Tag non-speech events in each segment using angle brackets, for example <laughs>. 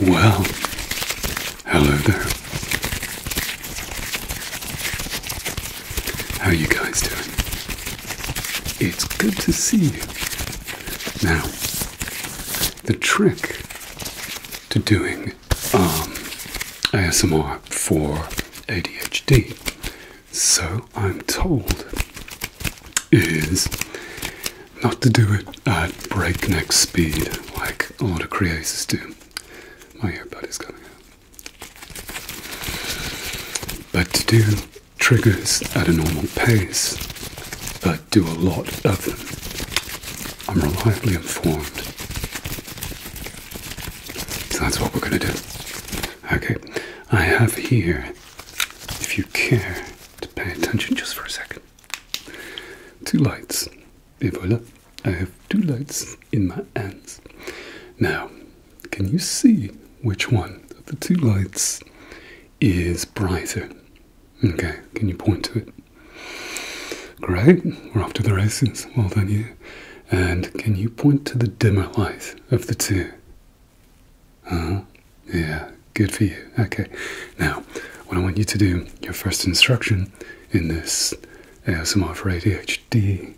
Well, hello there. How are you guys doing? It's good to see you. Now, the trick to doing um, ASMR for ADHD so I'm told, is not to do it at breakneck speed like all the of do. My earbud is coming out. But to do triggers at a normal pace, but do a lot of them. I'm reliably informed. So that's what we're going to do. Okay, I have here if you care to pay attention just for a second. Two lights. Et voilà, I have two lights in my hands. Now, can you see which one of the two lights is brighter? Okay, can you point to it? Great, we're off to the races. Well done, you. And can you point to the dimmer light of the two? -huh. Yeah, good for you. Okay. Now, what I want you to do, your first instruction in this ASMR for ADHD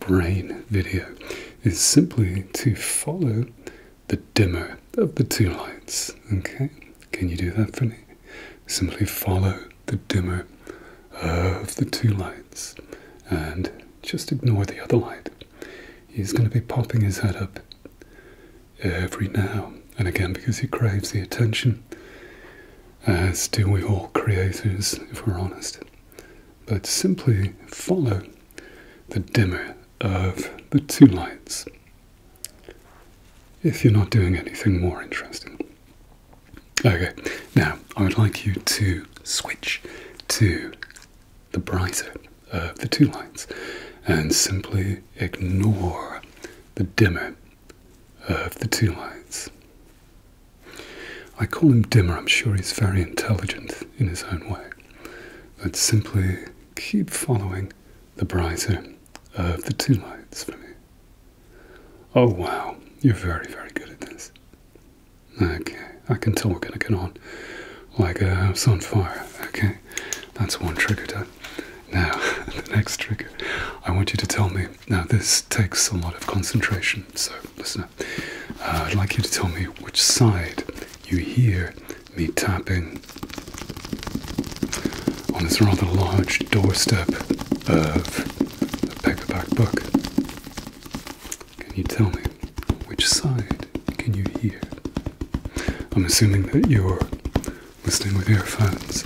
brain video, is simply to follow the dimmer of the two lights. Okay? Can you do that for me? Simply follow the dimmer of the two lights and just ignore the other light. He's going to be popping his head up every now and again because he craves the attention, as do we all creators, if we're honest. But simply follow the dimmer of the two lights if you're not doing anything more interesting. Okay, now I would like you to switch to the brighter of uh, the two lines and simply ignore the dimmer of the two lines. I call him dimmer, I'm sure he's very intelligent in his own way, but simply keep following the brighter of the two lights for me. Oh wow, you're very, very good at this. Okay, I can tell we're gonna get on like a house on fire. Okay, that's one trigger done. Now, <laughs> the next trigger, I want you to tell me. Now, this takes a lot of concentration, so listen uh, I'd like you to tell me which side you hear me tapping on this rather large doorstep of a paperback book. Can you tell me which side can you hear? I'm assuming that you're listening with earphones.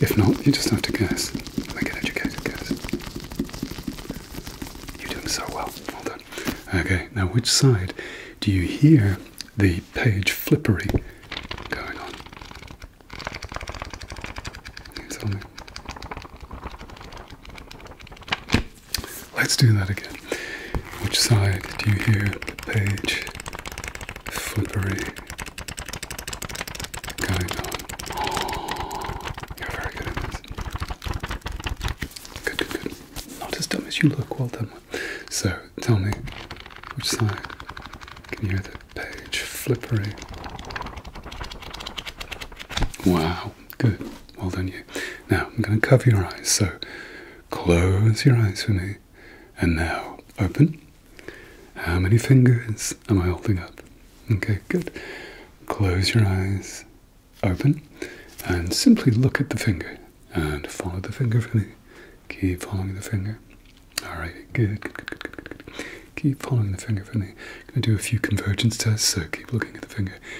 If not, you just have to guess. Make an educated guess. You're doing so well. Well done. Okay, now which side do you hear the page flippery going on? tell me? Let's do that again. Which side do you hear the page flippery going on? you're very good Good, good, good. Not as dumb as you look. Well done. So, tell me, which side can you hear the page flippery? Wow, good. Well done, you. Now, I'm going to cover your eyes. So close your eyes for me. And now, open. How many fingers am I holding up? Okay, good. Close your eyes. Open. And simply look at the finger. And follow the finger for me. Keep following the finger. All right, good, good, good, good, good, good. Keep following the finger for me. I'm going to do a few convergence tests, so keep looking at the finger.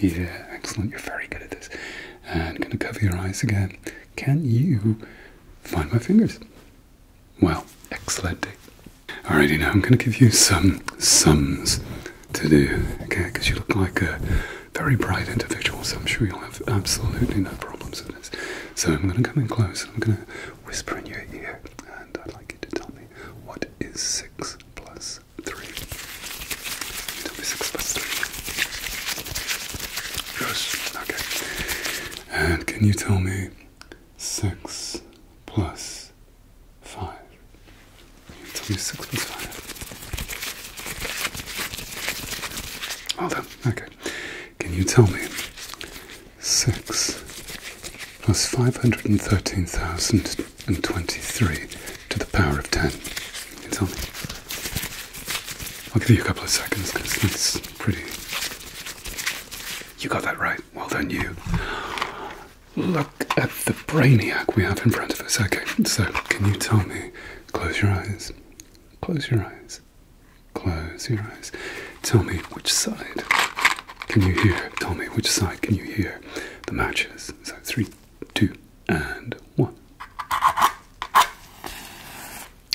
Yeah, excellent. You're very good at this. I'm going to cover your eyes again. Can you find my fingers? Well, excellent. All righty now I'm going to give you some sums to do, okay? Because you look like a very bright individual, so I'm sure you'll have absolutely no problems with this. So I'm going to come in close and I'm going to whisper in your ear, and I'd like you to tell me what is 6 plus three. It'll be six plus three. Yes, okay. And can you tell me six plus five? you tell me six plus five? Well done, okay. Can you tell me six plus five hundred and thirteen thousand and 23 to the power of 10. It's on. I'll give you a couple of seconds because that's pretty. You got that right. Well done, you. Look at the brainiac we have in front of us. Okay, so can you tell me? Close your eyes. Close your eyes. Close your eyes. Tell me which side can you hear? Tell me which side can you hear the matches? So three, two, and one.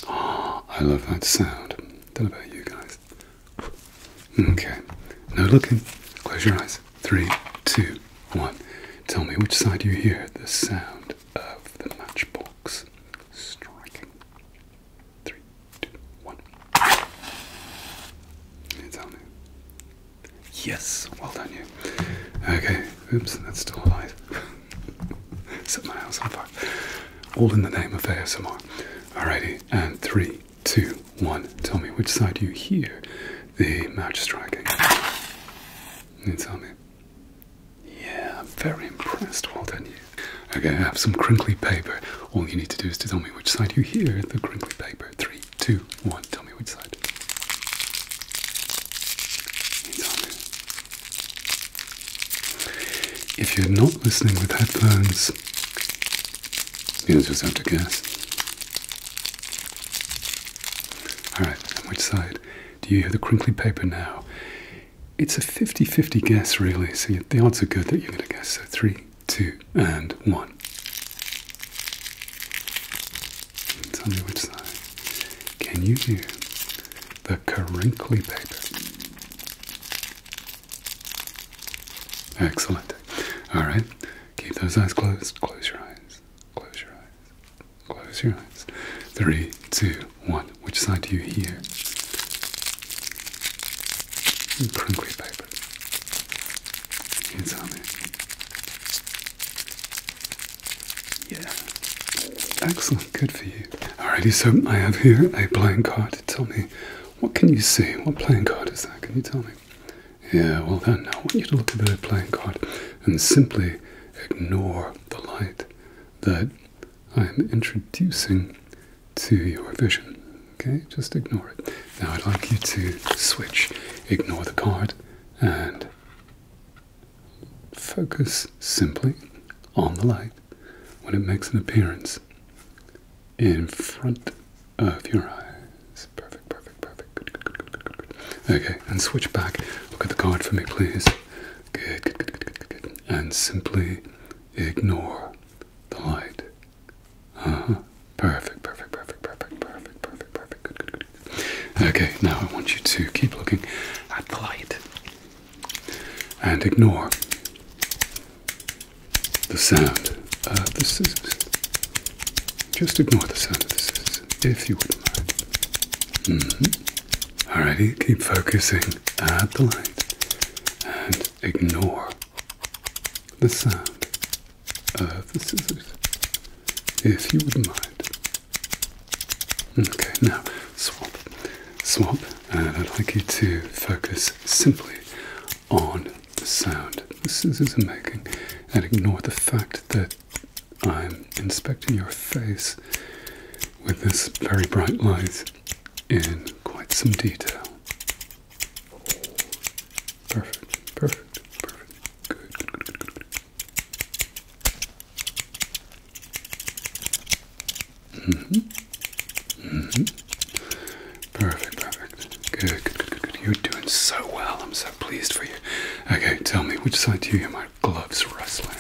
Oh, I love that sound. Tell not about you guys. Okay, no looking. Close your eyes. Three, two, one. Tell me which side you hear the sound of the matchbox striking. Three, two, one. Yes, well done you. Okay, oops, that's still alive. <laughs> Set my house on fire. All in the name of ASMR. Alrighty, and three, two, one. Tell me which side you hear the match striking. You tell me. Yeah, I'm very impressed, well done you. Okay, I have some crinkly paper. All you need to do is to tell me which side you hear the crinkly paper. Three, two, one. Tell me which side. If you're not listening with headphones, you'll just have to guess. Alright, which side? Do you hear the crinkly paper now? It's a 50 50 guess, really, so the odds are good that you're going to guess. So, three, two, and one. Tell me which side. Can you hear the crinkly paper? Excellent. All right. Keep those eyes closed. Close your eyes. Close your eyes. Close your eyes. Three, two, one. Which side do you hear? Crinkly paper. tell me? Yeah. Excellent. Good for you. Alrighty, so I have here a playing card. Tell me, what can you see? What playing card is that? Can you tell me? Yeah, well then, I want you to look at the playing card and simply ignore the light that I am introducing to your vision. Okay, just ignore it. Now I'd like you to switch, ignore the card, and Focus simply on the light when it makes an appearance in front of your eyes. Perfect, perfect, perfect. Good, good, good, good, good, good. Okay, and switch back. Look at the card for me, please. Good, good, good, good, good, good. And simply ignore the light. Uh huh. Perfect, perfect, perfect, perfect, perfect, perfect, perfect. Good, good, Okay, now I want you to keep looking at the light and ignore the sound of the scissors. Just ignore the sound of the scissors, if you would mind. Mm -hmm. Alrighty, keep focusing at the light and ignore the sound the scissors, if you wouldn't mind. Okay, now swap, swap, and I'd like you to focus simply on the sound the scissors are making, and ignore the fact that I'm inspecting your face with this very bright light in quite some detail. Perfect, perfect, perfect. good. Mm-hmm. Mm-hmm. Perfect, perfect. Good, good, good, good, You're doing so well. I'm so pleased for you. Okay, tell me, which side do you hear my gloves rustling?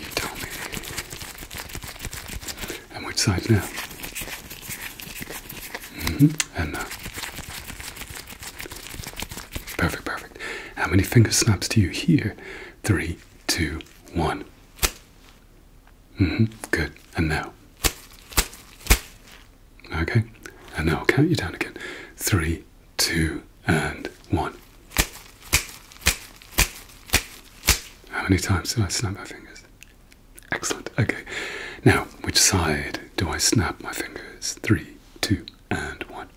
You tell me. And which side now? hmm and uh, perfect, perfect. How many finger snaps do you hear? Three, two, one. Mm-hmm. Good. And now. Okay. And now I'll count you down again. Three, two, and one. How many times did I snap my fingers? Excellent. Okay. Now, which side do I snap my fingers? Three, two, and one.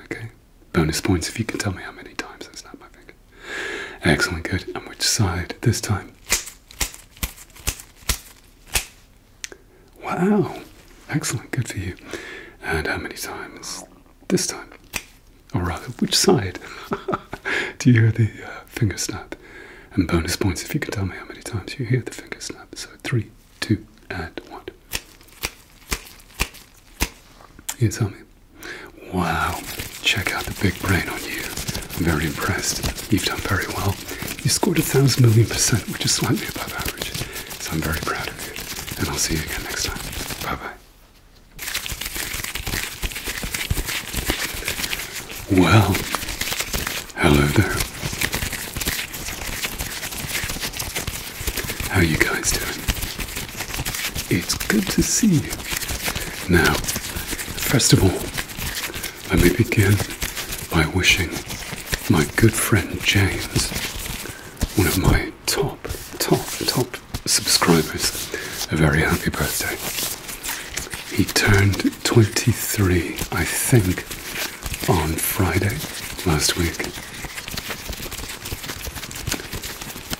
Okay, bonus points if you can tell me how many times I snapped my Excellent, good. And which side this time? Wow, excellent, good for you. And how many times this time? Or rather, which side? <laughs> Do you hear the uh, finger snap. And bonus points if you can tell me how many times you hear the finger snap. So three, two, and one. You tell me. Wow, check out the big brain on you. I'm very impressed. You've done very well. You scored a thousand million percent, which is slightly above average. So I'm very proud of you. And I'll see you again next time. Bye bye. Well, hello there. How are you guys doing? It's good to see you. Now, first of all, let me begin by wishing my good friend James, one of my top, top, top subscribers, a very happy birthday. He turned 23, I think, on Friday last week.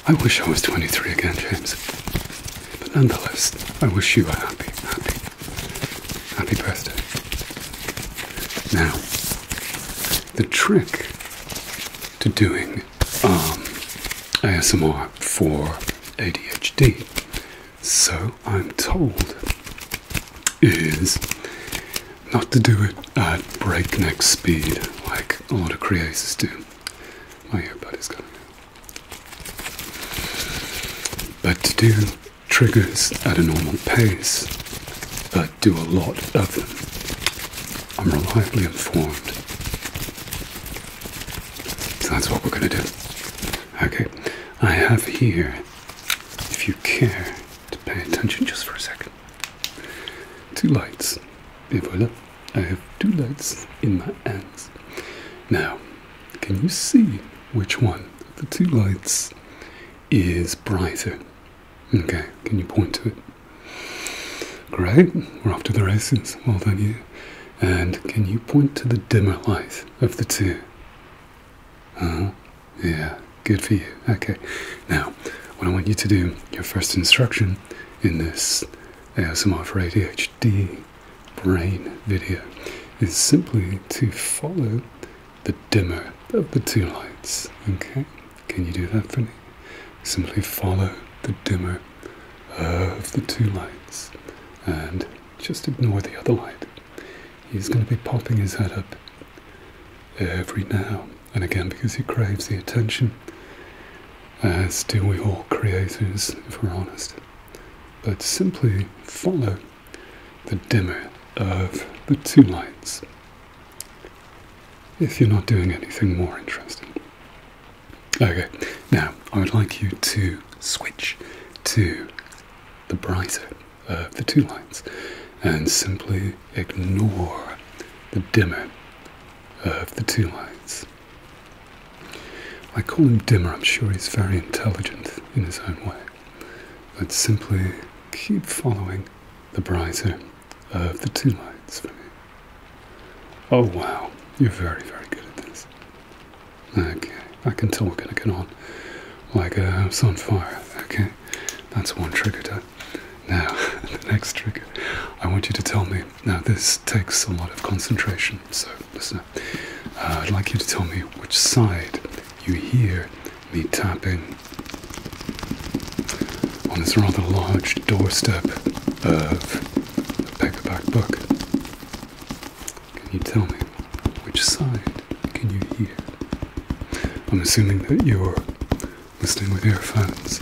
I wish I was 23 again, James. But nonetheless, I wish you a happy, happy, happy birthday. Now, the trick to doing um, ASMR for ADHD so I'm told, is not to do it at breakneck speed like a lot of creators do. My earbud is gone. But to do triggers at a normal pace, but do a lot of them. I'm reliably informed. So that's what we're going to do. Okay, I have here, if you care to pay attention just for a second, two lights. Et voilà, I have two lights in my hands. Now, can you see which one of the two lights is brighter? Okay, can you point to it? Great, we're off to the races. Well done, you. And can you point to the dimmer light of the two? huh. Yeah, good for you. Okay. Now, what I want you to do, your first instruction in this ASMR for ADHD brain video, is simply to follow the dimmer of the two lights. Okay? Can you do that for me? Simply follow the dimmer of the two lights and just ignore the other light. He's going to be popping his head up every now and again because he craves the attention, as do we all creators, if we're honest. But simply follow the dimmer of the two lights if you're not doing anything more interesting. Okay, now I would like you to switch to the brighter of the two lights and simply ignore the dimmer of the two lights. I call him dimmer, I'm sure he's very intelligent in his own way, but simply keep following the brighter of the two lights. for me. Oh wow, you're very, very good at this. Okay, I can talk and I can on like uh, it's on fire. Okay, that's one trigger done. Now, <laughs> the next trigger, I want you to tell me. Now, this takes a lot of concentration, so listen uh, I'd like you to tell me which side you hear me tapping on this rather large doorstep of the paperback book. Can you tell me which side can you hear? I'm assuming that you're listening with earphones.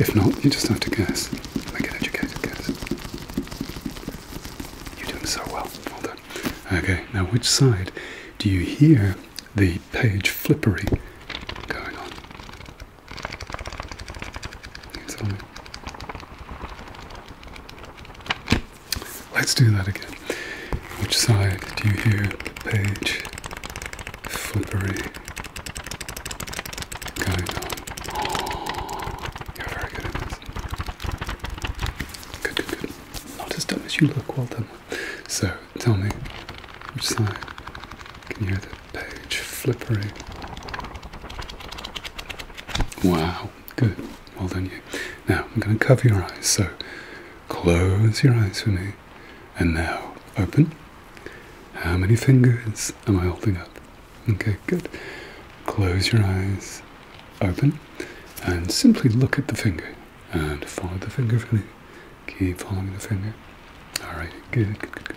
If not, you just have to guess. Make an educated guess. You're doing so well. Well done. Okay, now which side do you hear the page flippery going on? tell me? Let's do that again. Which side do you hear the page flippery going on? Oh, you're very good at this. Good, good, good. Not as dumb as you look, well done. So, tell me, which side can you hear the page flippery? Wow, Good. Well done, you. Now, I'm going to cover your eyes. So, close your eyes for me. And now, open. How many fingers am I holding up? Okay, good. Close your eyes. Open. And simply look at the finger. And follow the finger for me. Keep following the finger. Alright, good, good.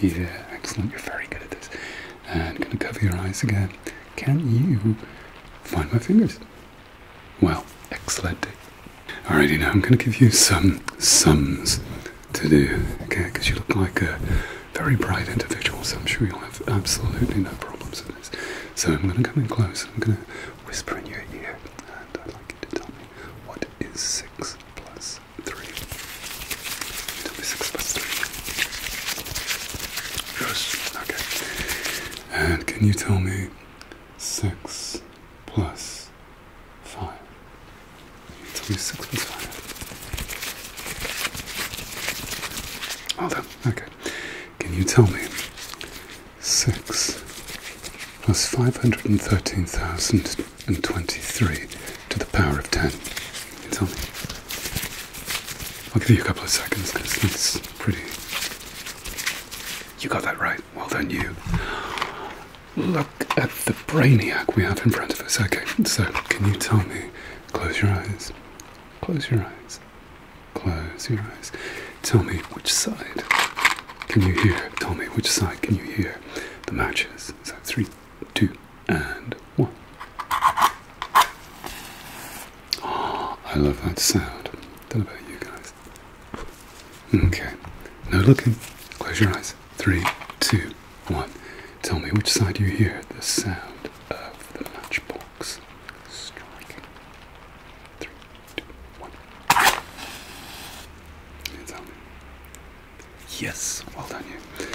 Yeah, excellent. You're very good at this. I'm gonna cover your eyes again. Can you find my fingers? Well, excellent. All righty now I'm gonna give you some sums to do, okay? Because you look like a very bright individual, so I'm sure you'll have absolutely no problems with this. So I'm gonna come in close. I'm gonna whisper in your ear, and I'd like you to tell me what is six plus plus three. It'll be six plus three. Yes. Okay. And can you tell me six plus five? Can you tell six plus five? Hold on, Okay. Can you tell me six plus 513,023 to the power of 10. It's on. I'll give you a couple of seconds because it's pretty. You got that right. Well then, you. Look at the brainiac we have in front of us. Okay, so can you tell me? Close your eyes. Close your eyes. Close your eyes. Tell me which side can you hear? Tell me which side can you hear? the matches. So three, two, and one. Oh, I love that sound. Don't know about you guys. Okay, no looking. Close your eyes. Three, two, one. Tell me which side you hear the sound of the matchbox striking. Three, two, one. tell me. Yes, well done you.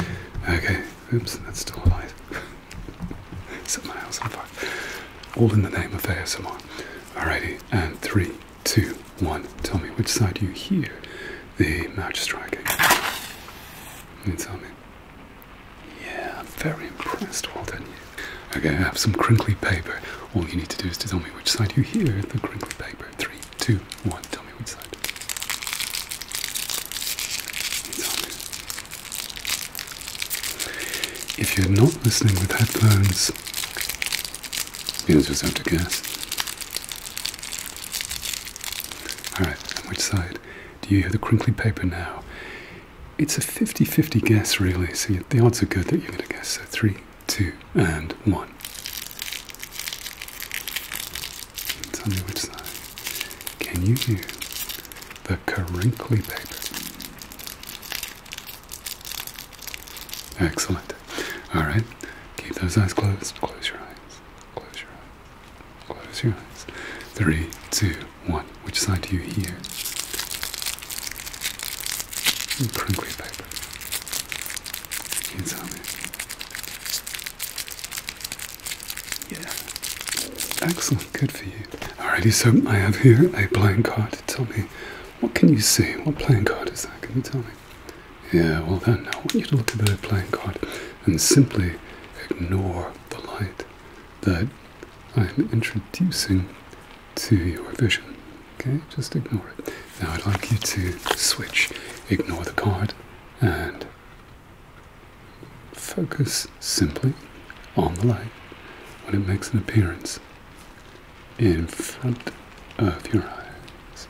Okay, oops, that's still alive. Set my house on fire. All in the name of ASMR. Alrighty, and three, two, one. Tell me which side you hear the match striking. tell me. Yeah, I'm very impressed. Well done you. Okay, I have some crinkly paper. All you need to do is to tell me which side you hear the crinkly paper. Three, two, one. Tell me which side. If you're not listening with headphones, you'll just have to guess. Alright, which side? Do you hear the crinkly paper now? It's a 50 50 guess, really, so the odds are good that you're going to guess. So, three, two, and one. Tell me which side. Can you hear the crinkly paper? Excellent. All right. Keep those eyes closed. Close your eyes. Close your eyes. Close your eyes. Three, two, one. Which side do you hear? and crinkly paper. You me. Yeah. Excellent, good for you. Alrighty, so I have here a playing card. Tell me, what can you see? What playing card is that? Can you tell me? Yeah, well then, I want you to look at that playing card and simply ignore the light that I'm introducing to your vision. Okay, just ignore it. Now I'd like you to switch, ignore the card, and focus simply on the light when it makes an appearance in front of your eyes.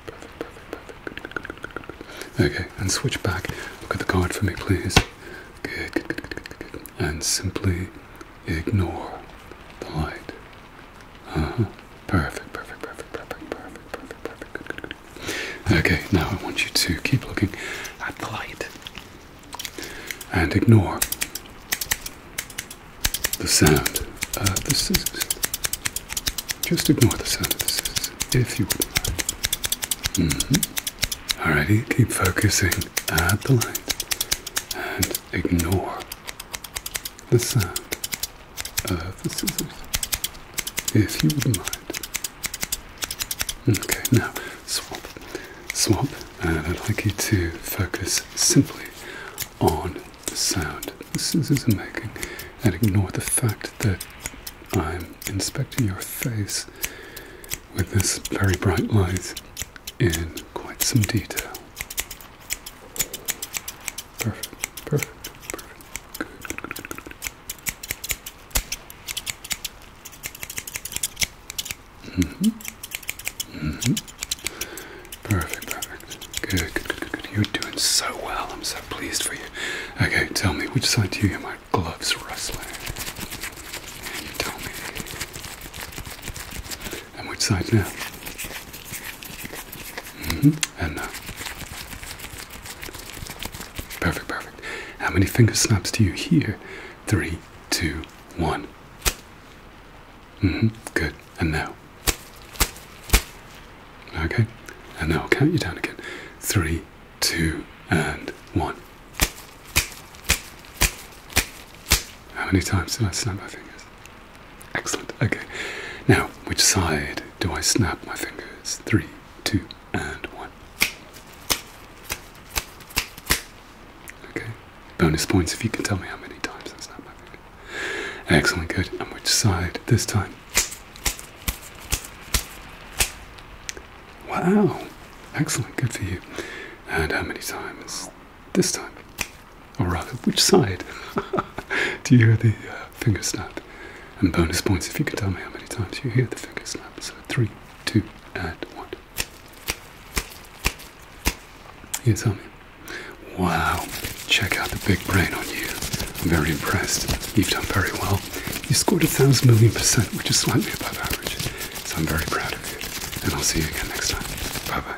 Okay, and switch back. Look at the card for me, please. good. And simply ignore the light. Uh-huh. Perfect, perfect, perfect, perfect, perfect, perfect, perfect. Good, good, good. Okay, now I want you to keep looking at the light and ignore the sound of the scissors. Just ignore the sound of the scissors, if you wouldn't mind. Mm-hmm. Alrighty, keep focusing at the light and ignore the sound of the if you would mind. Okay, now swap, swap, I'd like you to focus simply on the sound the scissors making and ignore the fact that I'm inspecting your face with this very bright light in quite some detail. Perfect, perfect, perfect. Good, good, good, good, good. Mm-hmm. hmm Perfect, perfect. Good, good, good, good, You're doing so well. I'm so pleased for you. Okay, tell me, which side do you hear my gloves rustling? You tell me. Mm-hmm. And which uh, side now? And now. Perfect, perfect. How many finger snaps do you hear? Three, two, one. -hmm. Good. And now. Okay. And now I'll count you down again. Three, two, and one. How many times did I snap my fingers? Excellent. Okay. Now, which side do I snap my fingers? Three, two, and one. Okay. Bonus points if you can tell me how many times I snap my finger. Excellent. Good. And which side this time? Wow. Excellent. Good for you. And how many times? this time. Or rather, which side? <laughs> Do you hear the uh, finger snap? And bonus points if you can tell me how many times you hear the finger snap. So three, two, and one. You tell me. Wow, check out the big brain on you. I'm very impressed. You've done very well. You scored a thousand million percent, which is slightly above average. So I'm very proud of you. And I'll see you again next time. Bye bye.